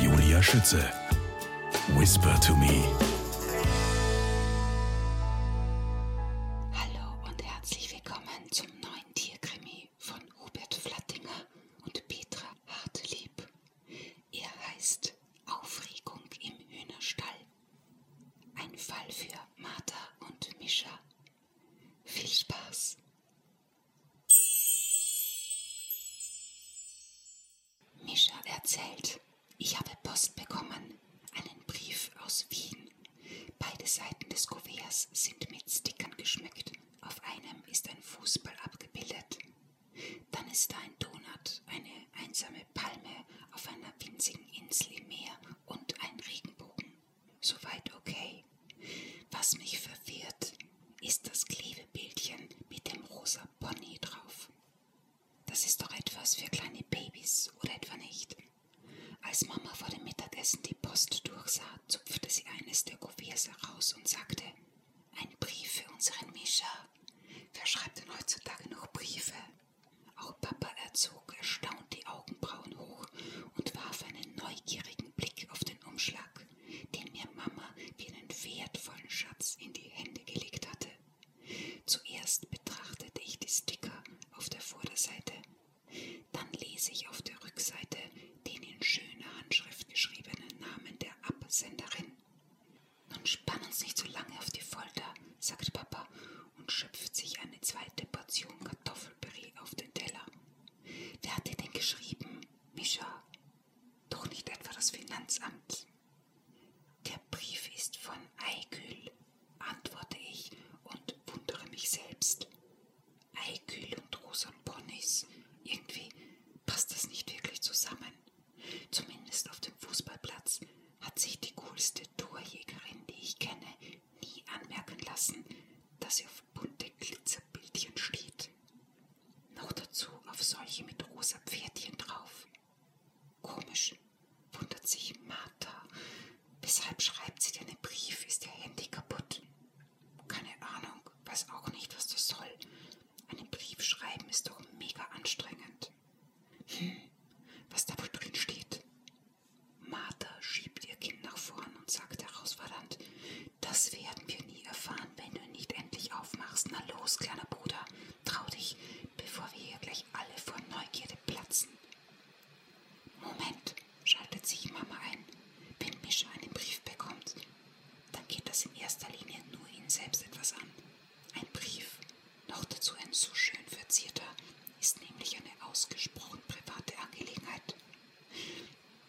Julia Schütze. Whisper to me. Hallo und herzlich willkommen zum neuen Tierkrimi von Hubert Flattinger und Petra Hartlieb. Er heißt Aufregung im Hühnerstall. Ein Fall für Martha und Mischa. Viel Spaß! Mischa erzählt, ich habe Post bekommen, einen Brief aus Wien. Beide Seiten des Kuverts sind mit Stickern geschmückt. Auf einem ist ein Fußball abgebildet. Dann ist da ein Donut, eine einsame Palme auf einer winzigen Insel im Meer und ein Regenbogen. Soweit okay. Was mich verwirrt, ist das Klebebildchen mit dem rosa Pony drauf. Das ist doch etwas für kleine Babys, oder etwa nicht? Als Mama vor dem Mittagessen die Post durchsah, zupfte sie eines der Kuverts heraus und sagte, ein Brief für unseren Mischa. Wer schreibt denn heutzutage noch Briefe? Auch Papa erzog erstaunt die Augenbrauen hoch und warf einen neugierigen Blick auf den Umschlag den mir Mama wie einen wertvollen Schatz in die Hände gelegt hatte. Zuerst betrachtete ich die Sticker auf der Vorderseite, dann lese ich auf der Rückseite den in schöner Handschrift geschriebenen Namen der Absenderin. Nun spann uns nicht so lange auf die Folter, sagt Papa und schöpft sich eine zweite Portion Kartoffelpüree auf den Teller. Wer hatte denn geschrieben? Mischa, doch nicht etwa das Finanzamt. Der Brief ist von Aigül, antworte ich und wundere mich selbst. Aigül und Rosan Ponys, irgendwie passt das nicht wirklich zusammen. Zumindest auf dem Fußballplatz hat sich die coolste Torjägerin, die ich kenne, nie anmerken lassen, dass sie auf bunte Glitzerbildchen steht. Noch dazu auf solche mit rosa Pferdchen drauf. Komisch, wundert sich Martha. Weshalb schreibt sie dir einen Brief? Ist ihr Handy kaputt? Keine Ahnung, weiß auch nicht, was das soll. Einen Brief schreiben ist doch mega anstrengend. Hm, was da wohl drin steht? Martha schiebt ihr Kind nach vorne an und sagte herausfordernd, das werden wir nie erfahren, wenn du nicht endlich aufmachst. Na los, kleiner Bruder, trau dich, bevor wir hier gleich alle vor Neugierde platzen. Moment, schaltet sich Mama ein, wenn Mischa einen Brief bekommt, dann geht das in erster Linie nur ihn selbst etwas an. Ein Brief, noch dazu ein so schön verzierter, ist nämlich eine ausgesprochen private Angelegenheit.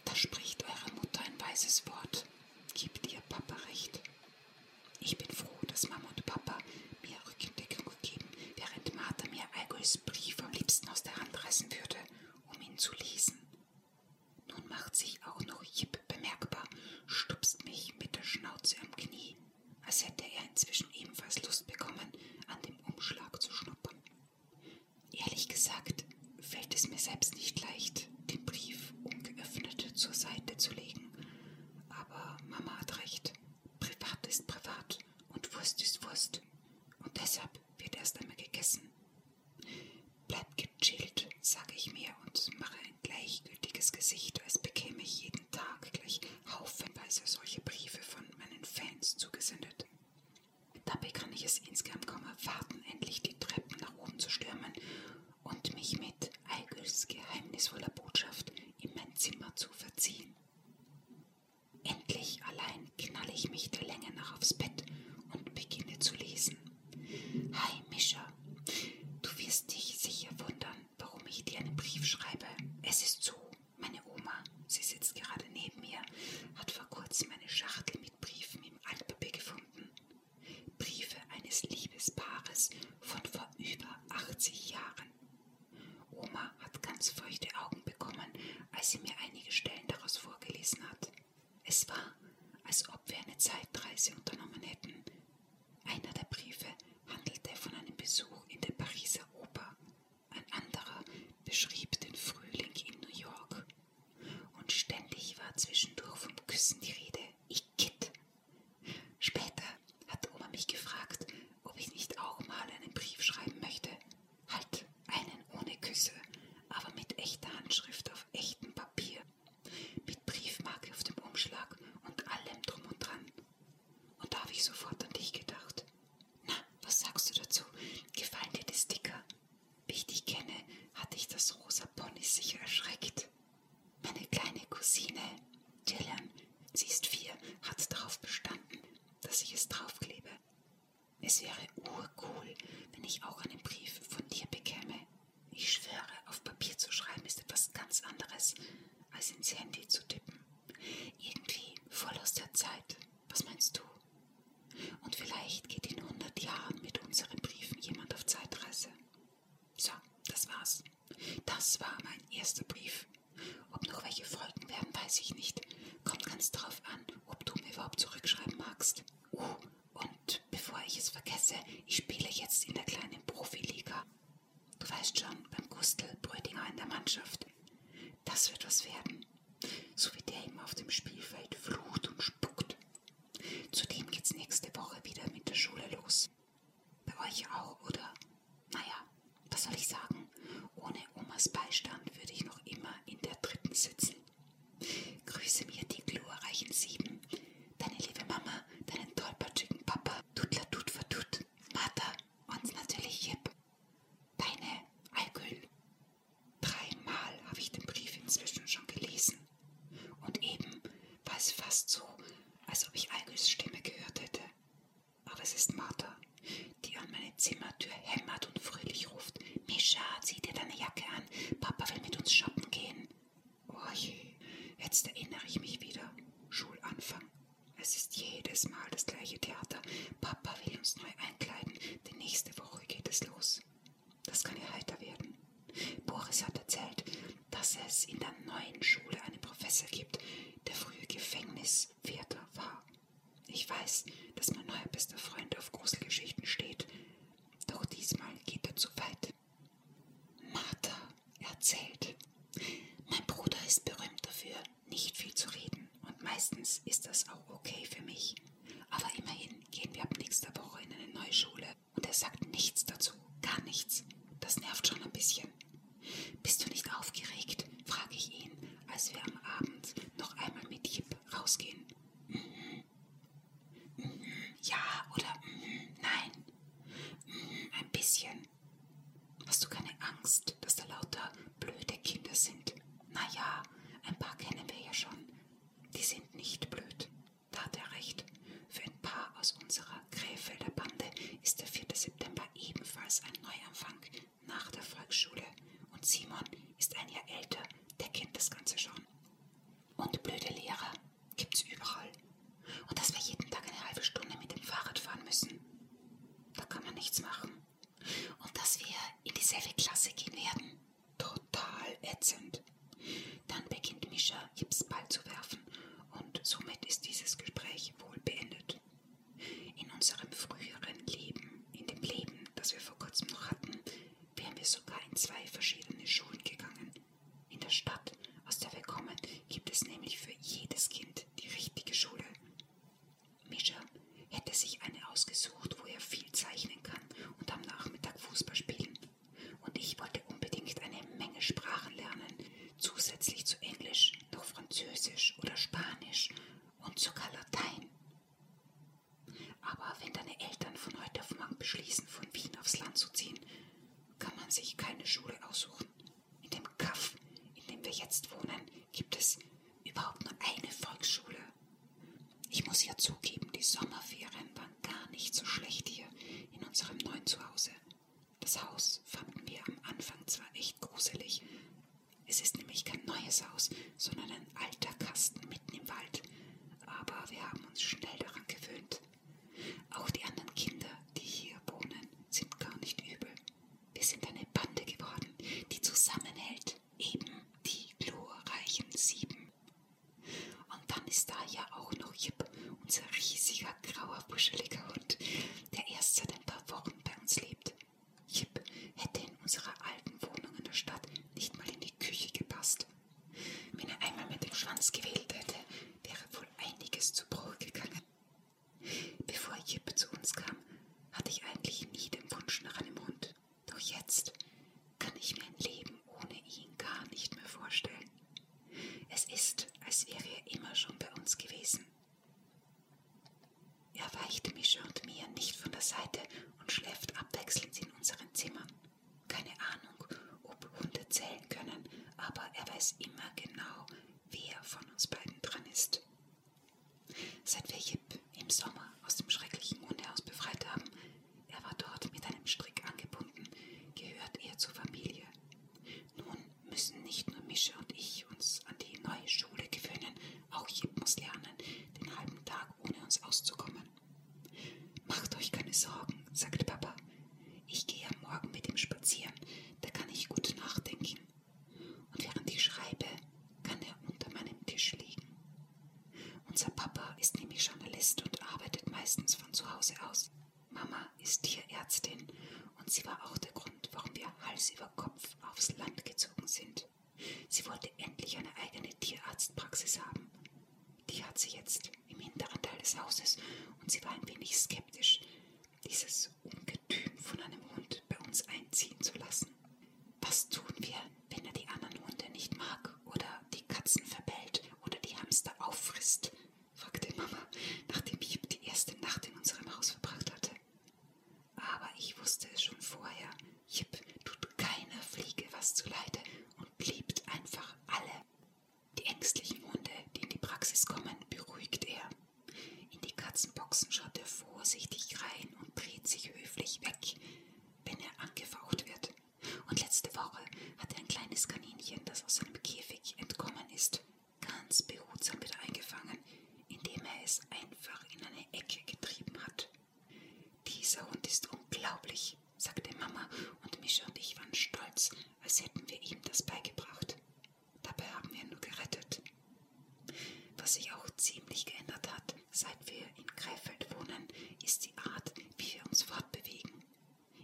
Da spricht eure Mutter ein weises Wort. Gebt ihr Papa recht. Ich bin froh, dass Mama und Papa mir Rückendeckung geben, während Martha mir Algols Brief am liebsten aus der Hand reißen würde, um ihn zu lesen. Nun macht sich auch noch Jip bemerkbar, stupst mich mit der Schnauze am Knie, als hätte er inzwischen ebenfalls Lust bekommen, an dem Umschlag zu schnuppern. Ehrlich gesagt fällt es mir selbst nicht leicht, den Brief ungeöffnet zur Seite zu legen. Aber Mama hat recht. Privat ist privat und Wurst ist Wurst. Und deshalb wird erst einmal gegessen. Bleib gechillt, sage ich mir und mache ein gleichgültiges Gesicht, als bekäme ich jeden Tag gleich haufenweise solche Briefe von meinen Fans zugesendet. Dabei kann ich es insgeheim kaum erwarten, endlich die Treppen nach oben zu stürmen und mich mit Eigels geheimnisvoller Botschaft in mein Zimmer zu verziehen. Endlich allein knalle ich mich der Länge nach aufs Bett und beginne zu lesen. Hi, Mischa. Du wirst dich sicher wundern, warum ich dir einen Brief schreibe. Es ist so, meine Oma sie sitzt gerade neben mir, hat vor kurzem eine Schachtel mit Briefen im Altpapier gefunden. Briefe eines Liebespaares von vor über 80 Jahren. Oma hat ganz feuchte Augen bekommen, als sie mir einige Stellen daraus vorgelesen hat. Es war, als ob wir eine Zeitreise unternommen hätten. Einer der Briefe handelte von einem Besuch in der Pariser Oper. Ein anderer beschrieb den Frühling in New York. Und ständig war zwischendurch vom Küssen die Rede. Ich kitt. Später hat Oma mich gefragt, ob ich nicht auch mal einen Brief schreiben möchte. Halt, einen ohne Küsse, aber mit echter Handschrift auf echtem Papier. Mit Briefmarke auf dem Umschlag und allem drum und dran. Und da habe ich sofort an dich gedacht. Na, was sagst du dazu? Gefallen dir die Sticker? Wie ich dich kenne, hat dich das rosa Pony sicher erschreckt. Meine kleine Cousine, Gillian, sie ist vier, hat darauf bestanden, dass ich es draufklebe. Es wäre urcool, wenn ich auch einen Brief von dir bekäme. Ich schwöre, auf Papier zu schreiben ist etwas ganz anderes, als ins Handy zu tippen. Irgendwie voll aus der Zeit. Was meinst du? Und vielleicht geht in 100 Jahren mit unseren Briefen jemand auf Zeitreise. So, das war's. Das war mein erster Brief. Ob noch welche folgen werden, weiß ich nicht. Kommt ganz drauf an, ob du mir überhaupt zurückschreiben magst. Uh, und bevor ich es vergesse, ich spiele jetzt in der kleinen Profiliga. Du weißt schon, beim Gustl Brödinger in der Mannschaft. Das wird was werden so wie der immer auf dem Spielfeld flucht und spuckt. Zudem geht's nächste Woche wieder mit der Schule los. Bei euch auch, oder? Naja, was soll ich sagen? Ohne Omas Beistand würde ich noch immer in der dritten sitzen. Grüße mir die glorreichen Sieben, deine liebe Mama, deinen tollpatschigen Papa, Tutla tut verdut, Martha und natürlich Jip. Deine Alkohol. Dreimal habe ich den Brief inzwischen schon gelesen. Und eben war es fast so, als ob ich Algis Stimme gehört hätte. Aber es ist Martha, die an meine Zimmertür hämmert und fröhlich ruft. Mischa, zieh dir deine Jacke an. Papa will mit uns shoppen gehen. Oh je, jetzt erinnere ich mich wieder. Schulanfang. Es ist jedes Mal das gleiche Theater. Papa will uns neu einkleiden, denn nächste Woche geht es los. Das kann ja heiter werden. Boris hat erzählt, dass es in der neuen Schule einen Professor gibt, der früher Gefängniswärter war. Ich weiß, dass mein neuer bester Freund auf Gruselgeschichten steht, doch diesmal geht er zu weit. Martha erzählt, mein Bruder ist berühmt dafür, nicht viel zu reden und meistens ist das auch okay für mich. Aber immerhin gehen wir ab nächster Woche in eine neue Schule und er sagt nichts dazu, gar nichts. Das nervt schon ein bisschen. Bist du nicht aufgeregt? frage ich ihn, als wir am Abend noch einmal mit Jip rausgehen. Mhm. Mhm. mhm. Ja oder mhm. nein? Mhm. Ein bisschen. Hast du keine Angst, dass da lauter blöde Kinder sind. Na ja, ein paar kennen wir ja schon. Die sind nicht blöd. Da hat er recht. Für ein paar aus unserer Krefelder Bande ist der 4. September ebenfalls ein Neuanfang nach der Volksschule. Und Simon ist ein Jahr älter, der kennt das Ganze schon. Und blöde Lehrer gibt's überall. Und dass wir jeden Tag eine halbe Stunde mit dem Fahrrad fahren müssen. Da kann man nichts machen. Und dass wir in dieselbe Klasse gehen werden. Total ätzend. Dann beginnt Mischa, Jips Ball zu werfen und somit ist dieses Gespräch wohl beendet. In unserem früheren Leben, in dem Leben, das wir vor kurzem noch hatten, wären wir sogar in zwei verschiedene Schulen gegangen. In der Stadt, aus der wir kommen, gibt es nämlich für jedes Kind die richtige Schule. Mischa hätte sich eine ausgesucht, wo er viel zeichnen kann und am Nachmittag Fußball spielen. Und ich wollte unbedingt eine Menge Sprachen lernen, zusätzlich zu Englisch noch Französisch oder Spanisch und sogar Latein. Aber wenn deine Eltern von heute auf morgen beschließen, von Wien aufs Land zu ziehen, kann man sich keine Schule aussuchen. In dem Kaff, in dem wir jetzt wohnen, gibt es überhaupt nur eine Volksschule. Ich muss ja zugeben, die Sommerferien waren gar nicht so schlecht hier in unserem neuen Zuhause. Das Haus fanden wir am Anfang zwar echt gruselig. Es ist nämlich kein neues Haus, sondern ein alter Kasten mitten im Wald. Aber wir haben uns schnell daran gewöhnt. Auch die anderen Kinder, die hier wohnen, sind gar nicht übel. Wir sind eine Bande geworden, die zusammenhält eben die glorreichen sieben. Und dann ist da ja auch noch Jip, unser riesiger, grauer, buscheliger Hund, der erst seit ein paar Wochen bei uns lebt. Jip hätte in unserer alten Wohnung in der Stadt nicht mal in die Küche gepasst. Wenn er einmal mit dem Schwanz gewählt hätte, wäre wohl einiges zu Bruch gegangen. Bevor Jippe zu uns kam, hatte ich eigentlich nie den Wunsch nach einem Hund. Doch jetzt kann ich mir ein Leben ohne ihn gar nicht mehr vorstellen. Es ist, als wäre er immer schon bei uns gewesen. Er weicht Mischa und mir nicht von der Seite und schläft abwechselnd in unseren Zimmern. Keine Ahnung, ob Hunde zählen können, aber er weiß immer genau, wer von uns beiden dran ist. Seit wir Jip im Sommer aus dem schrecklichen Hundehaus befreit haben, er war dort mit einem Strick angebunden, gehört er zur Familie. Nun müssen nicht nur Mische und ich uns an die neue Schule gewöhnen, auch Jip muss lernen, den halben Tag ohne uns auszukommen. Macht euch keine Sorgen, sagte Papa. Ich gehe am Morgen mit ihm spazieren, da kann ich gut nachdenken. Und während ich schreibe, kann er unter meinem Tisch liegen. Unser Papa ist nämlich Journalist und arbeitet meistens von zu Hause aus. Mama ist Tierärztin und sie war auch der Grund, warum wir Hals über Kopf aufs Land gezogen sind. Sie wollte endlich eine eigene Tierarztpraxis haben. Die hat sie jetzt im hinteren Teil des Hauses und sie war ein wenig skeptisch. Dieses dieses Ungetüm von einem Hund bei uns einziehen zu lassen. Was tun wir, wenn er die anderen Hunde nicht mag oder die Katzen verbellt oder die Hamster auffrisst? fragte Mama, nachdem Jip die erste Nacht in unserem Haus verbracht hatte. Aber ich wusste es schon vorher. Jip tut keiner Fliege was zuleide und liebt einfach alle. Die ängstlichen Hunde, die in die Praxis kommen, beruhigt er. In die Katzenboxen schaut er vorsichtig rein und dreht sich höflich weg, wenn er angefaucht wird. Und letzte Woche hat er ein kleines Kaninchen, das aus seinem Käfig entkommen ist, ganz behutsam wieder eingefangen, indem er es einfach in eine Ecke getrieben hat. Dieser Hund ist unglaublich, sagte Mama, und Mischa und ich waren stolz, als hätten wir ihm das beigebracht. Dabei haben wir ihn nur gerettet. Was sich auch ziemlich geändert hat, seit wir in Krefeld wohnen, ist die Art, wie wir uns fortbewegen.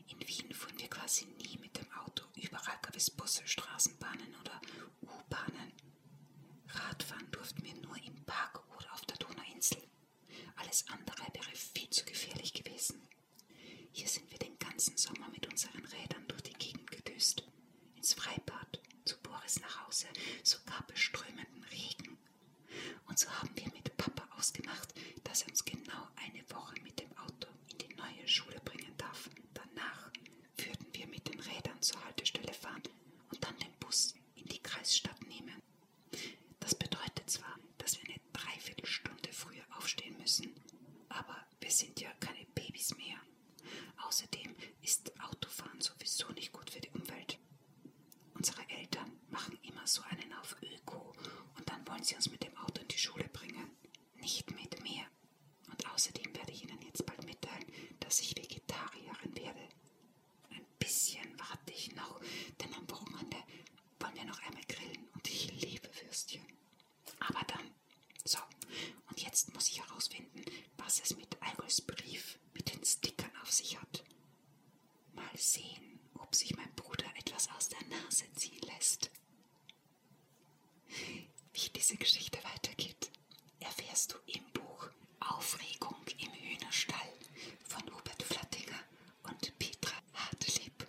In Wien fuhren wir quasi nie mit dem Auto. Überall gab es Busse, Straßenbahnen oder U-Bahnen. Radfahren durften wir nur im Park oder auf der Donauinsel. Alles andere wäre viel zu gefährlich gewesen. Hier sind wir den ganzen Sommer mit unseren Rädern durch die Gegend gedüst ins Freibad, zu Boris nach Hause, sogar beströmenden Regen. Und so haben wir mit Papa ausgemacht, dass er uns genau eine Woche mit dem Auto in die neue Schule bringen darf. Danach würden wir mit den Rädern zur Haltestelle fahren und dann den Bus in die Kreisstadt nehmen. Das bedeutet zwar, dass wir eine Dreiviertelstunde früher aufstehen müssen, aber wir sind ja keine Babys mehr. Außerdem ist Autofahren sowieso nicht gut für die Umwelt. Unsere Eltern machen immer so einen auf Öko und dann wollen sie uns mit dem Auto in die Schule bringen. Nicht mit mir. Und außerdem werde ich Ihnen jetzt bald mitteilen, dass ich Vegetarierin werde. Ein bisschen warte ich noch, denn am Wochenende wollen wir noch einmal grillen und ich liebe Würstchen. Aber dann. So, und jetzt muss ich herausfinden, was es mit Algols Brief mit den Stickern auf sich hat. Mal sehen, ob sich mein Bruder etwas aus der Nase ziehen lässt. Wie diese Geschichte weitergeht, erfährst du im Buch Aufregung im Hühnerstall von Hubert Flattinger und Petra Hartlieb.